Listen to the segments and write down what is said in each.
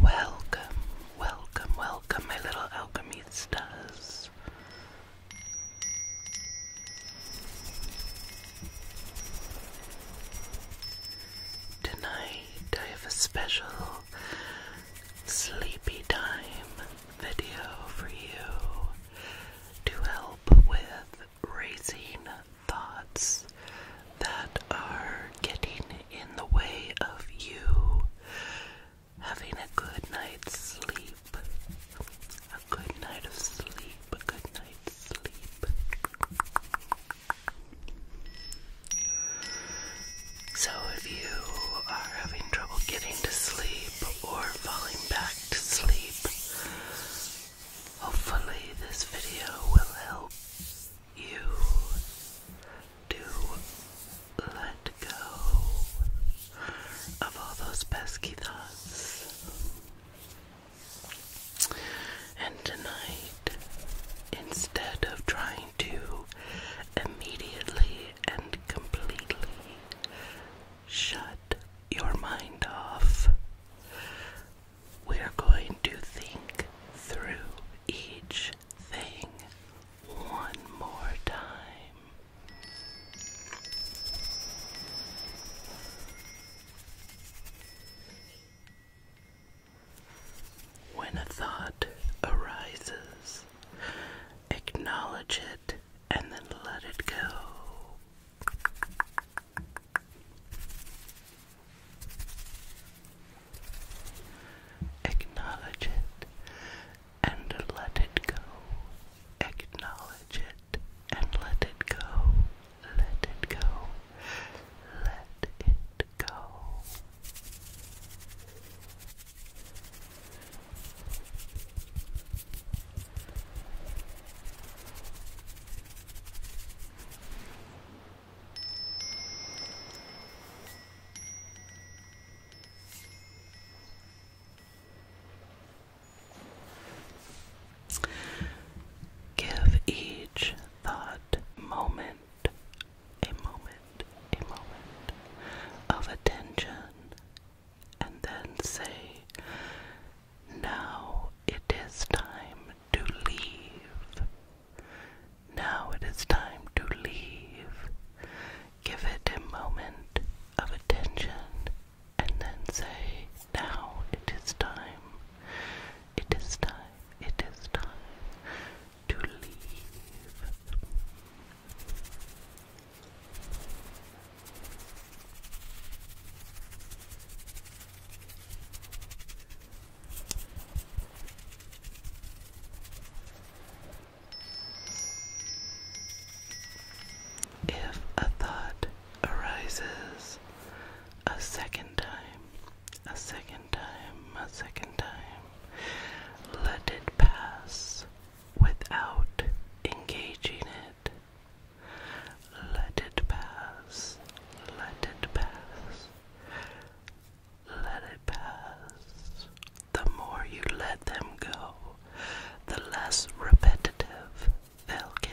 Welcome, welcome, welcome, my little alchemistas. Tonight I have a special sleepy time video for you to help with raising thoughts that are getting in the way of you having a good night's sleep. A good night of sleep, a good night's sleep. So, if you are having trouble getting to sleep or falling back to sleep, hopefully, this video will help you do let go of all those pesky thoughts. And tonight, instead of trying to immediately and completely shut your mind off, we are going to think through each thing one more time. When a thought arises, acknowledge it and then let it go. Acknowledge it and let it go. Acknowledge it and let it go. Let it go. Let it go. Give each thought moment, a moment, a moment of attention, and then say, now it is time to leave. Now it is time to leave. Give it a moment of attention and then say, Now it is time. It is time. It is time to leave. If a thought arises a second time, a second time, a second time, let it pass without engaging it. Let it pass. Let it pass. Let it pass. The more you let them go, the less repetitive they'll get.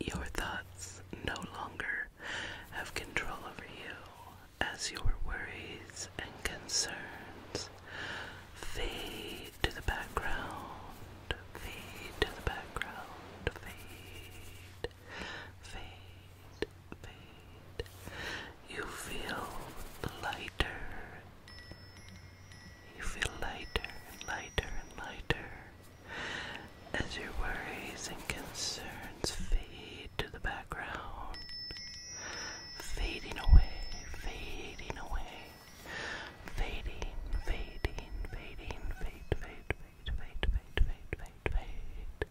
Your thoughts no longer have control over you as your worries and concerns fade fade to the background, fade to the background, fade, fade, fade. You feel lighter. You feel lighter and lighter and lighter as your worries and concerns fade to the background, fading away, fading away, fading, fading, fading, fade, fade, fade, fade, fade, fade, fade, fade.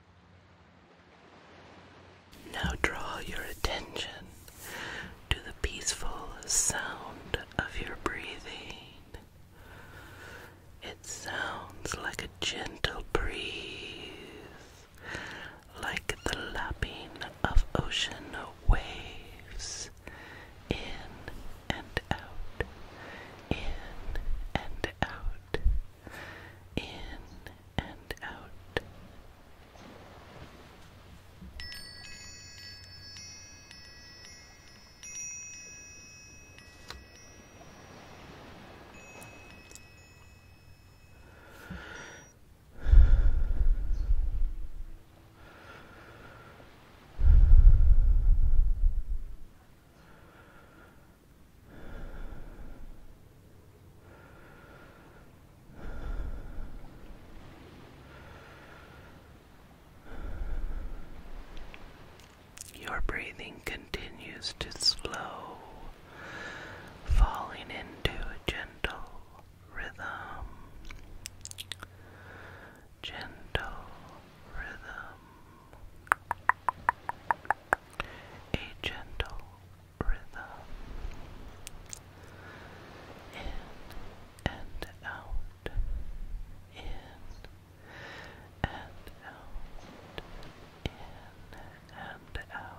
Now draw your attention to the peaceful sound of your breathing. It sounds like a gentle breeze, like the lapping of ocean waves in and out, in and out in and out. Your breathing continues to slow, falling into a gentle rhythm. Gentle rhythm. A gentle rhythm in and out in and out in and out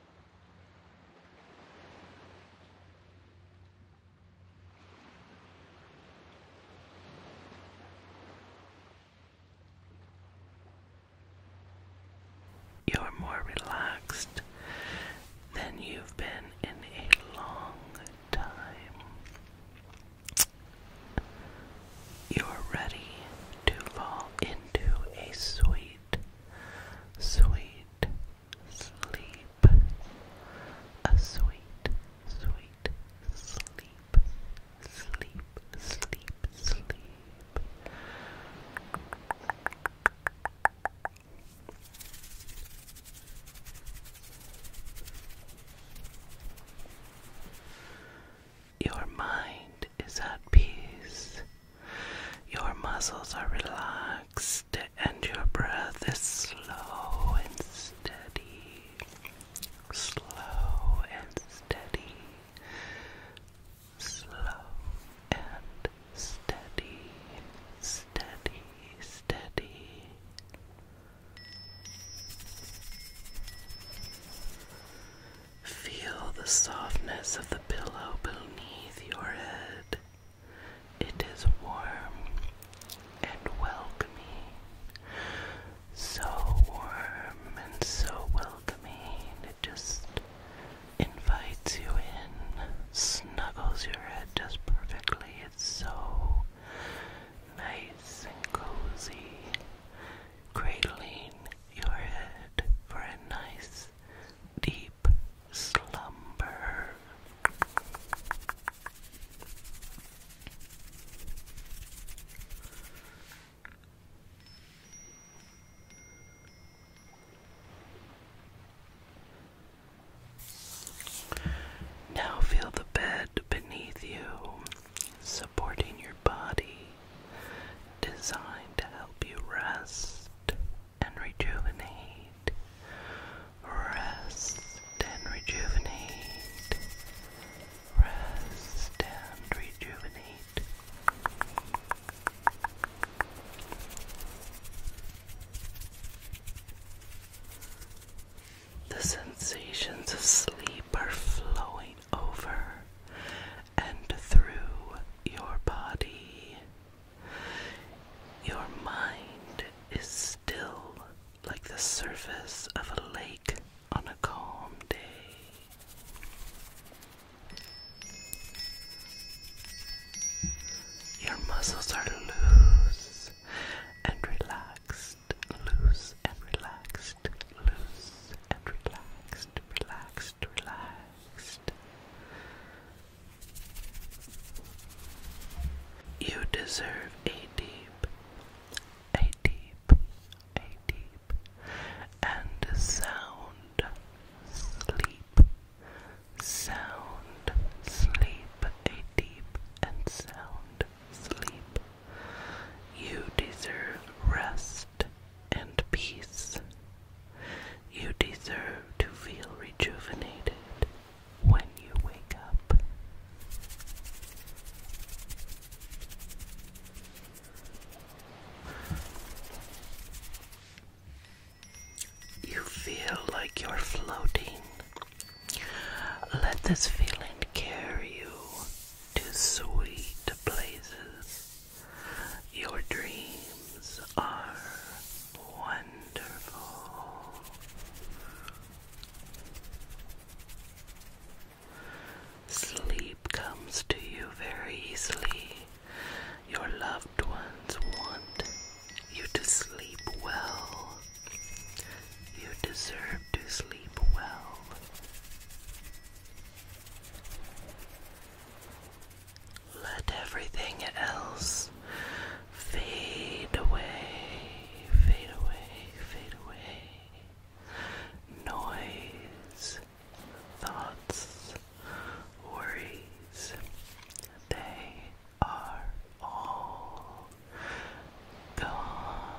You're more relaxed than you've been in a long time. You're ready to fall into a sweet sweet sleep, a sweet, sweet sleep, sleep, sleep, sleep. Your mind is at peace. Your muscles are relaxed and your breath is slow and steady. Slow and steady. Slow and steady. Steady, steady. Feel the softness of the pillow beneath your head. It is warm and welcoming. So warm and so welcoming. It just invites you in, snuggles your head just perfectly. It's so nice and cozy. Cradling your head for a nice deep slumber. Now feel the bed beneath you, supporting your body designed to help you rest and rejuvenate. Rest and rejuvenate. Rest and rejuvenate. The sensations of sleep are flowing over and through your body. Your mind is still like the surface of a lake on a calm day. Your muscles are loose and relaxed, loose and relaxed loose, and relaxed, relaxed, relaxed. You deserve a deep, a deep, a deep, and sound sleep. Sound sleep, a deep and sound sleep. You deserve rest and peace. You deserve to feel rejuvenated when you wake up. You feel like you're floating. Let this feeling carry you to sweet places your dreams are wonderful. Sleep comes to you very easily. Your loved ones want you to sleep well. You deserve to sleep well. Let everything else fade away, fade away, fade away. Noise, thoughts, worries, they are all gone.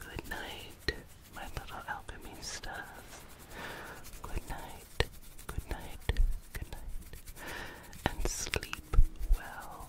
Good night, my little alchemistas. Good night, good night, good night. And sleep well.